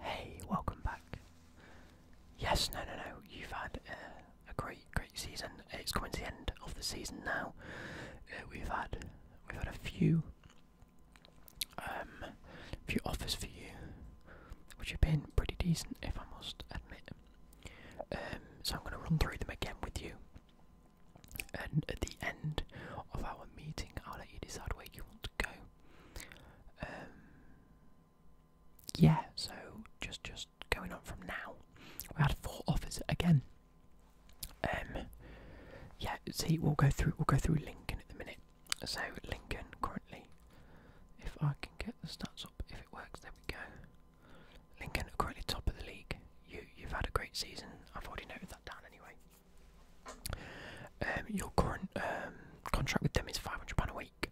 Hey, welcome back. Yes, no, no, no. You've had uh, a great, great season. It's coming to the end of the season now. Uh, we've had, we've had a few, um, few offers for you, which have been pretty decent, if I must admit. Um, so I'm going to run through them again with you. And at the end of our meeting, I'll let you decide where you want to go. Um, yeah, so just just going on from now, we had four offers again. Um, yeah, see, we'll go through we'll go through Lincoln at the minute. So Lincoln currently, if I can get the stats up, if it works, there we go. Lincoln are currently top of the league. You you've had a great season. I've already noted that down anyway. Um, your current um, contract with them is five hundred pound a week.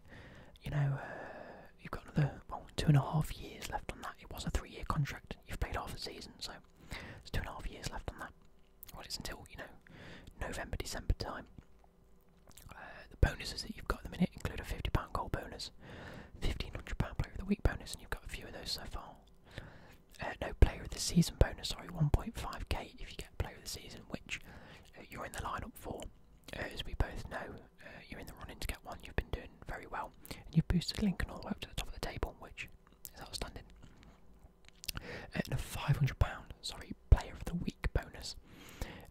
You know, uh, you've got another well two and a half years left on that. It was a three-year contract. You've played half the season, so it's two and a half years left on that. Well, it's until you know November, December time. Uh, the bonuses that you've got at the minute include a fifty pound goal bonus, fifteen hundred pound player of the week bonus, and you've got a few of those so far. Uh, no player of the season bonus, sorry, one point five k if you get player of the season, which uh, you're in the lineup for. Uh, as we both know, uh, you're in the running to get one. You've been doing very well, and you've boosted Lincoln all the way up to the top of the table, which is outstanding. and a five hundred pound, sorry, player of the week bonus.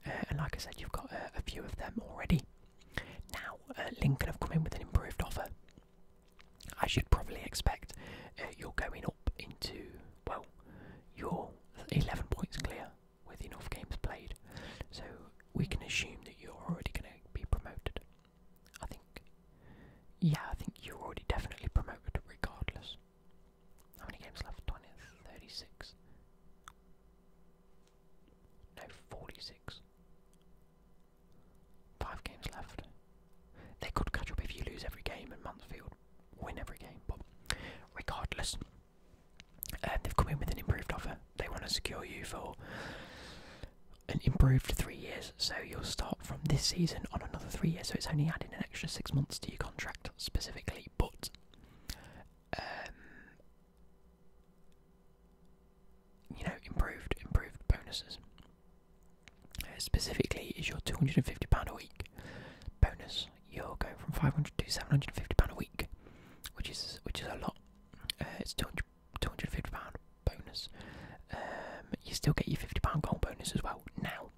and like I said, you've got a few of them already. Now, Lincoln have come in with an improved offer. I should probably expect, you're going up into well, your. 11 points clear with enough games played. So we can assume that you're already going to be promoted. I think, yeah, I think you're already definitely promoted regardless. How many games left? 20, 36. No, 46. Five games left. They could catch up if you lose every game in Mansfield win every game. But regardless, um, they've come in with an improved offer. They want to secure you for an improved three years. So you'll start from this season on another three years. So it's only adding an extra six months to your contract specifically. But um, you know, improved, improved bonuses. Uh, specifically, is your two hundred and fifty pound a week bonus you're going from 500 to 750 pound a week, which is which is a lot. Uh, it's 200, 250 pound bonus. Um, you still get your 50 pound gold bonus as well. Now,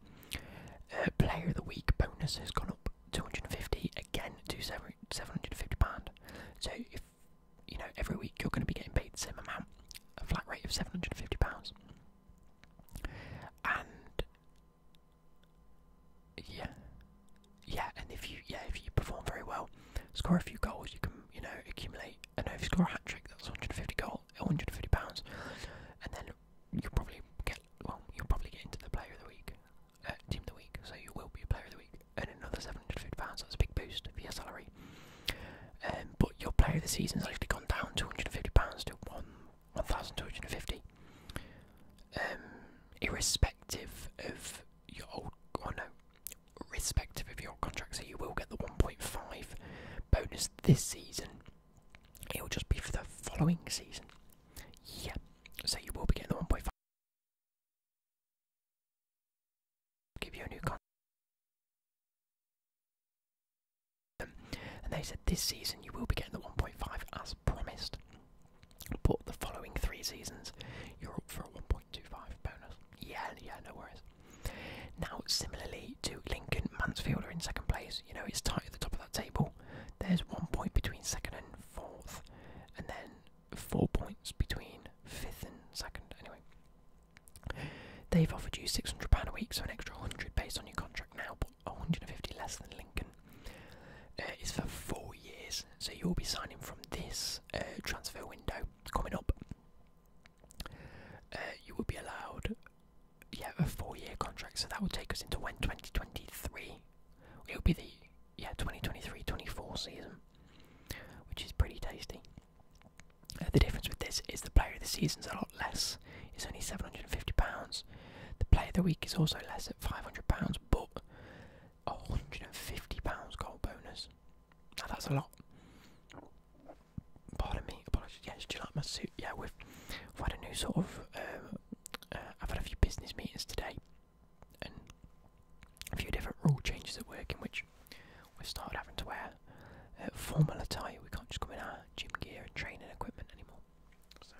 uh, player of the week bonus has gone up 250 again to 750 pound. So if you know every week you're going to be getting paid the same amount, a flat rate of 750 pounds, yeah, yeah, and if you yeah if you perform very well, score a few goals, you can you know accumulate. I know if you score a hat trick, that's 150 goal, 150 pounds, and then you'll probably get well, you'll probably get into the player of the week, uh, team of the week. So you will be a player of the week, and another 750 pounds. That's a big boost for your salary. Um, but your player of the season has actually gone down 250 pounds to one 1250. Um, irrespective of your old, or oh no, irrespective of your contract, so you will get the 1.5 bonus this season. It will just be for the following season. Yeah, so you will be getting the 1.5. Give you a new contract. And they said this season you will be getting the 1.5 as promised, but the following three seasons you're up for a 1.25 bonus. Yeah, yeah, no worries. Now, similarly to Lincoln, Mansfield are in second place. You know, it's tight at the top of that table. There's one point between second and fourth, and then four points between fifth and second. Anyway, they've offered you £600 a week, so an extra 100 based on your contract now, 150 less than Lincoln, uh, It's for four years. So you'll be signing from this uh, transfer window coming up. Uh, you will be allowed, yeah, a four-year contract. So that will take us into when 2023. It will be the yeah 2023-24 season, which is pretty tasty. the difference with this is the player of the season is a lot less. It's only £750. The play of the week is also less at £500, but a £150 gold bonus. Now that's a lot. Pardon me, apologies. Yes, do you like my suit? Yeah, we've, we've had a new sort of. Um, uh, I've had a few business meetings today and a few different rule changes at work in which we've started having to wear uh, formal attire. We can't just come in our gym gear and training equipment anymore. So,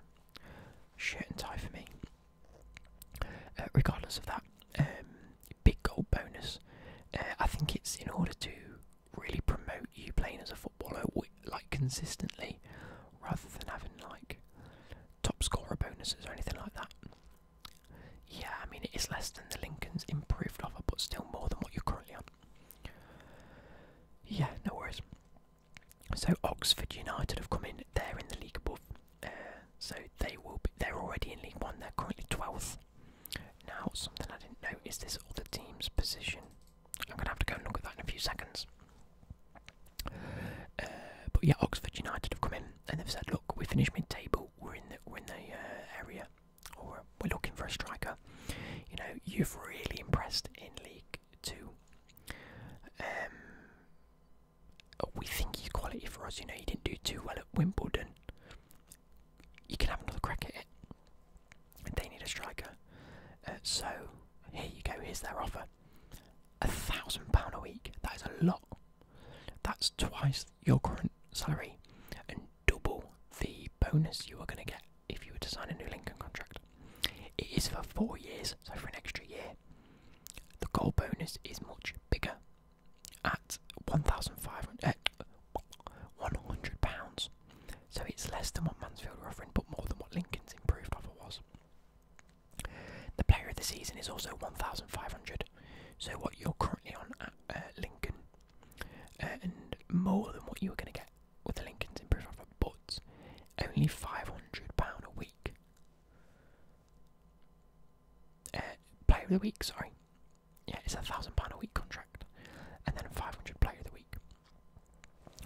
shirt and tie for me. Uh, regardless of that, um, big gold bonus. Uh, I think it's in order to really promote you playing as a footballer, like consistently, rather than having like top scorer bonuses or anything like that. Yeah, I mean it is less than the Lincoln's improved offer, but still more than what you're currently on. Yeah, no worries. So Oxford United have come in. there in the league above. Uh, so they will. Be, they're already in League One. They're currently twelfth. Now, something I didn't know is this other team's position. I'm gonna have to go and look at that in a few seconds. Uh, but yeah, Oxford United have come in and they've said, "Look, we finished mid-table. We're in the we're in the uh, area, or we're looking for a striker. You know, you've really impressed in League Two. Um, we think he's quality for us. You know, he didn't do too well at Wimbledon. You can have another crack They need a striker, uh, so here you go. Here's their offer: a thousand pound a week. That is a lot. That's twice your current salary and double the bonus you are going to get if you were to sign a new Lincoln contract. It is for four years, so for an extra year. The goal bonus is much bigger at £1,500. Eh, so it's less than what Mansfield were offering, but more than what Lincoln's improved offer was. The player of the season is also 1,500. So what you're currently on at uh, Lincoln, uh, and more than what you were going to get with the Lincoln's improved offer, but only £500 a week. Uh, player of the week, sorry. Yeah, it's a £1,000 a week contract, and then 500 player of the week.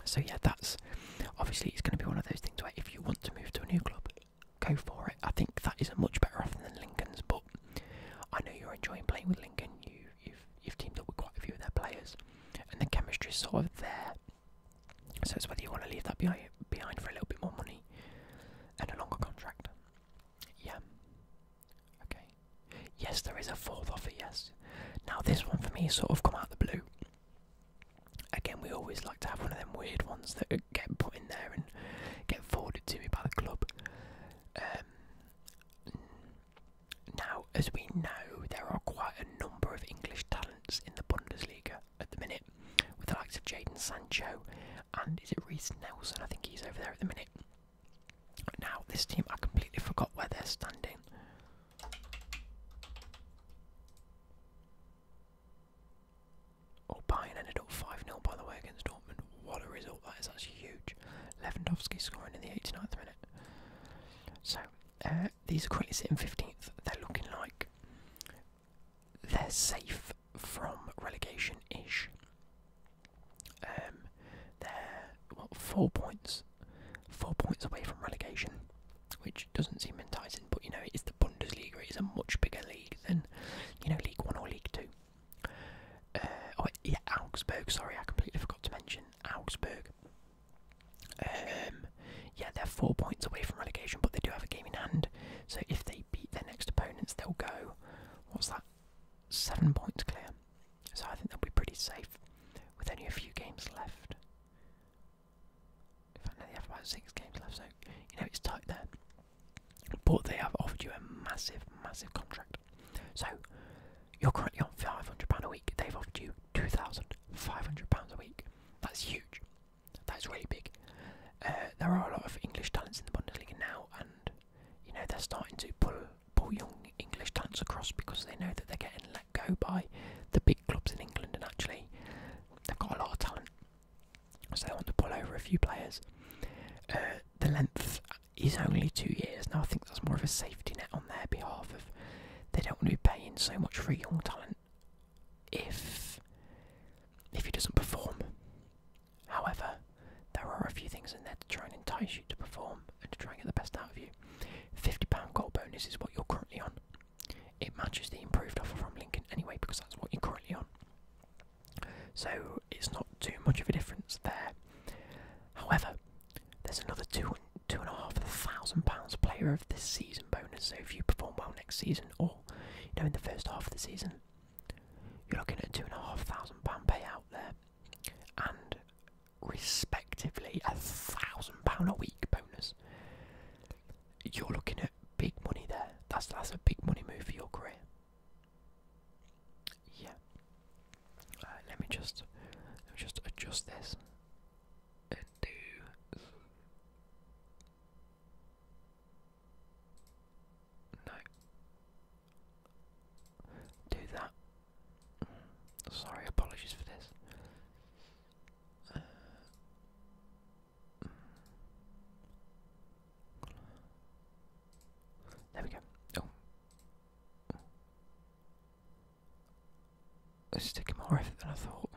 So, yeah, that's obviously it's going to be one of those things where if you want to move to a new club, go for it. I think that is a much better offer than Lincoln's, but I know you're enjoying playing with Lincoln. you've you've teamed up with quite a few of their players, and the chemistry is sort of there. So it's whether you want to leave that behind for a little bit more money and a longer contract. Yeah. Okay. Yes, there is a fourth offer. Yes. Now this one for me sort of come out of the blue. Again, we always like to have one of them weird ones that get put in there and get forwarded to me by the club. Um, now, as we know, there are quite a number of English talent in the Bundesliga at the minute, with the likes of Jadon Sancho and is it Reese Nelson? I think he's over there at the minute. Now, this team, I completely forgot where they're standing. Oh, Bayern ended up 5 0 by the way against Dortmund. What a result that is, that's huge. Lewandowski scoring in the 89th minute. So, uh, these are currently sitting 15th. They're looking like they're safe from relegation ish. Um, they're what four points, four points away from relegation, which doesn't seem enticing. But you know, it's the Bundesliga. It is a much bigger league than you know League One or League Two. Uh, oh yeah, Augsburg. Sorry, I completely forgot to mention Augsburg. Um, yeah, they're four points away from relegation, but they do have a game in hand. So if they beat their next opponents, they'll go. What's that? Seven points clear. So I think they'll be pretty safe with only a few games left. In fact, no, they have about six games left, so you know it's tight there. But they have offered you a massive, massive contract. So you're currently on five hundred pound a week. They've offered you two thousand five hundred pounds a week. That's huge. That's really big. Uh, there are a lot of English talents in the Bundesliga now, and you know they're starting to pull pull young English talents across because they know that they're getting let go by the big clubs in England, and actually they've got a lot of talent, so they want to pull over a few players. Uh, the length is only two years now. I think that's more of a safety net on their behalf of they don't want to be paying so much for young talent if if he doesn't perform. However, there are a few things in there to try and entice you to perform and to try and get the best out of you. £50 goal bonus is what you're currently on. It matches the improved offer from Lincoln anyway, because that's what you're currently on. So it's not too much of a difference there. However, there's another two two and a half thousand pounds player of this season bonus. So if you perform well next season, or you know in the first half of the season, you're looking at two and a half thousand pound payout there, and respectively a thousand pound a week bonus. You're looking at big money there. That's that's a big money move for your career. Yeah. Uh, let me just let me just adjust this and do no do that. Sorry, apologies for this. there we go. Oh. It's taking more effort than I thought.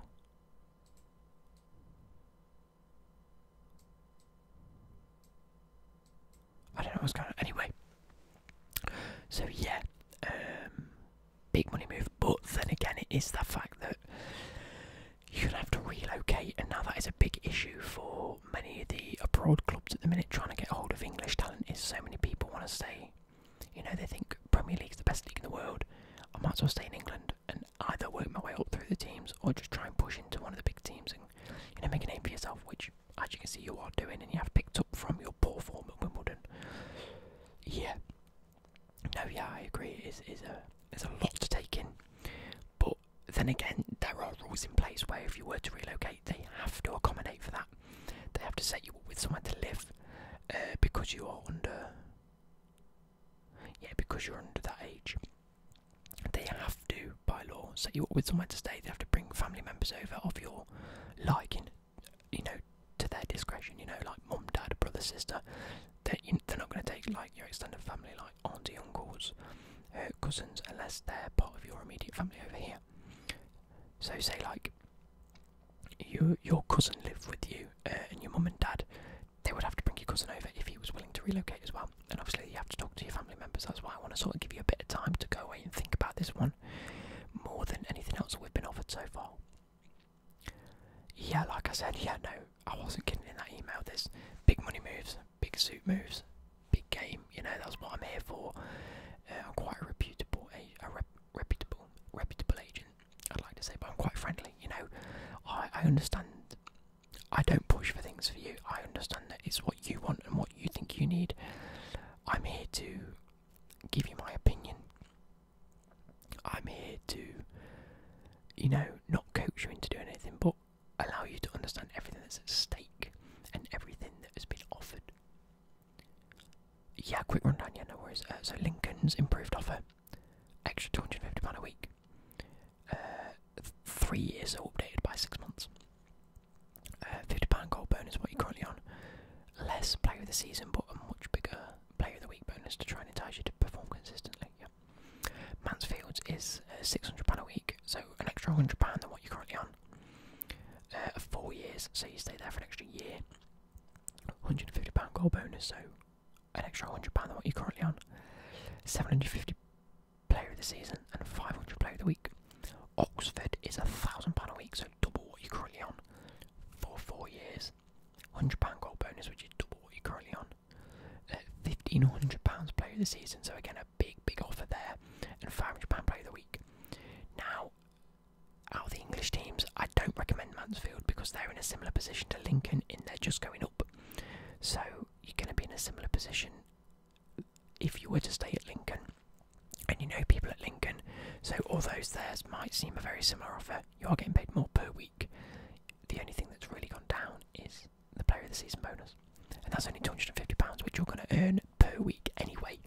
I don't know what's going Anyway, so yeah, um, big money move. But then again, it is the fact that you have to relocate, and now that is a big issue for many of the abroad clubs at the minute. Trying to get hold of English talent is so many people want to stay. You know, they think Premier League is the best league in the world. I might as well stay in England and either work my way up through the teams or just try and push into one of the big teams and you know make a name for yourself, which as you can see you are doing and you have picked up from your poor form at Wimbledon. Yeah. No, yeah, I agree. It is is there's a lot to take in, but then again, there are rules in place where if you were to relocate, they have to accommodate for that. They have to set you up with somewhere to live uh, because you are under yeah, because you're under that age. They have to, by law, set you up with somewhere to stay. They have to bring family members over of your liking, you know, to their discretion. You know, like mum, dad, brother, sister. They're, they're not going to take like your extended family, like auntie, uncles, cousins, unless they're part of your immediate family over here. So say like your your cousin lived with you, uh, and your mum and dad they would have to bring your cousin over if he was willing to relocate as well. And obviously, you have to talk to your family members. That's why I want to sort of give you a bit of time to go away and think about this one more than anything else that we've been offered so far. Yeah, like I said, yeah, no, I wasn't kidding in that email. There's big money moves, big suit moves, big game. You know, that's what I'm here for. Uh, I'm quite reputable, a, reputable, reputable agent. I'd like to say, but I'm quite friendly, you know. I, I understand. I don't push for things for you. I understand that it's what you want and what you think you need. I'm here to give you my opinion. I'm here to, you know, not coach you into doing anything, but allow you to understand everything that's at stake and everything that has been offered. Yeah, quick rundown, yeah, no worries. Uh, so Lincoln's improved offer extra £250 a week. Uh, three years are updated by six months. Uh, £50 goal bonus, what you're currently on. Less player of the season, but a much bigger player of the week bonus to try and entice you to perform consistently. Yeah. Mansfield's is uh, £600 a week, so an extra £100 than what you're currently on. four years, so you stay there for an extra year. £150 goal bonus, so an extra £100 than what you're currently on, 750 player of the season, and 500 player of the week. Oxford is a £1,000 a week, so double what you're currently on for four years. £100 gold bonus, which is double what you're currently on. Uh, 15 or 100 pounds player of the season, so again, a big, big offer there, and £500 player of the week. Now, out the English teams, don't recommend Mansfield because they're in a similar position to Lincoln and they're just going up. So you're going to be in a similar position if you were to stay at Lincoln. And you know people at Lincoln, so all those theirs might seem a very similar offer, you are getting paid more per week. The only thing that's really gone down is the player of the season bonus, and that's only £250, which you're going to earn per week anyway.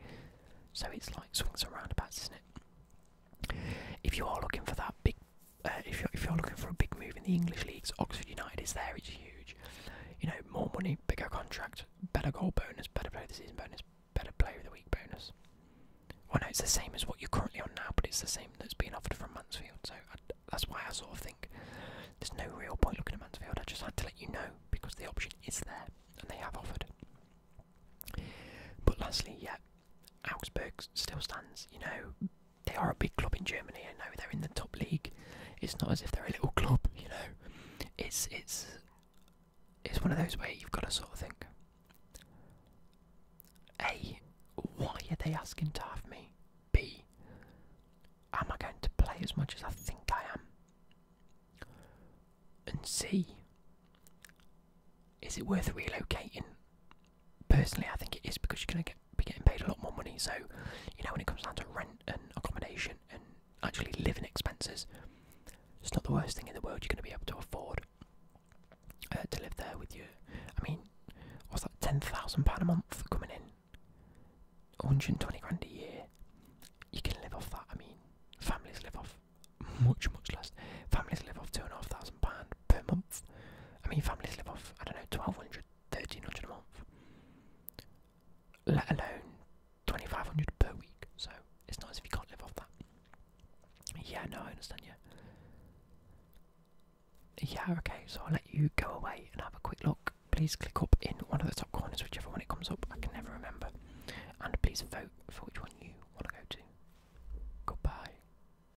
So it's like swings around about, isn't it? If you are looking for that big uh, if you're, if you're looking for a big move in the English leagues, Oxford United is there. It's huge. You know, more money, bigger contract, better goal bonus, better player of the season bonus, better player of the week bonus. Well, no, it's the same as what you're currently on now, but it's the same that's being offered from Mansfield. So that's why I sort of think there's no real point looking at Mansfield. I just had to let you know because the option is there and they have offered. But lastly, yeah, Augsburg still stands. You know, they are a big club in Germany. I know they're in the top league. It's not as if they're a little club, you know. It's it's it's one of those where you've got to sort of think. A, why are they asking to have me? B, am I going to play as much as I think I am? And C, is it worth relocating? Personally, I think it is because you're going to be getting paid a lot more money. So, you know, when it comes down to rent and accommodation and actually living expenses, it's not the worst thing in the world you're going to be able to afford uh, to live there with you. I mean, what's that, £10,000 a month coming in? 120 grand a year. You can live off that. I mean, families live off much, much less. Families live off £2,500, per month. I mean, families live off, I don't know, 1200, 1300 a month, let alone 2500 per week. So it's not as if you can't live off that. Yeah, no, I understand, you. Yeah, okay, so I'll let you go away and have a quick look. Please click up in one of the top corners, whichever one it comes up, I can never remember. And please vote for which one you want to go to. Goodbye.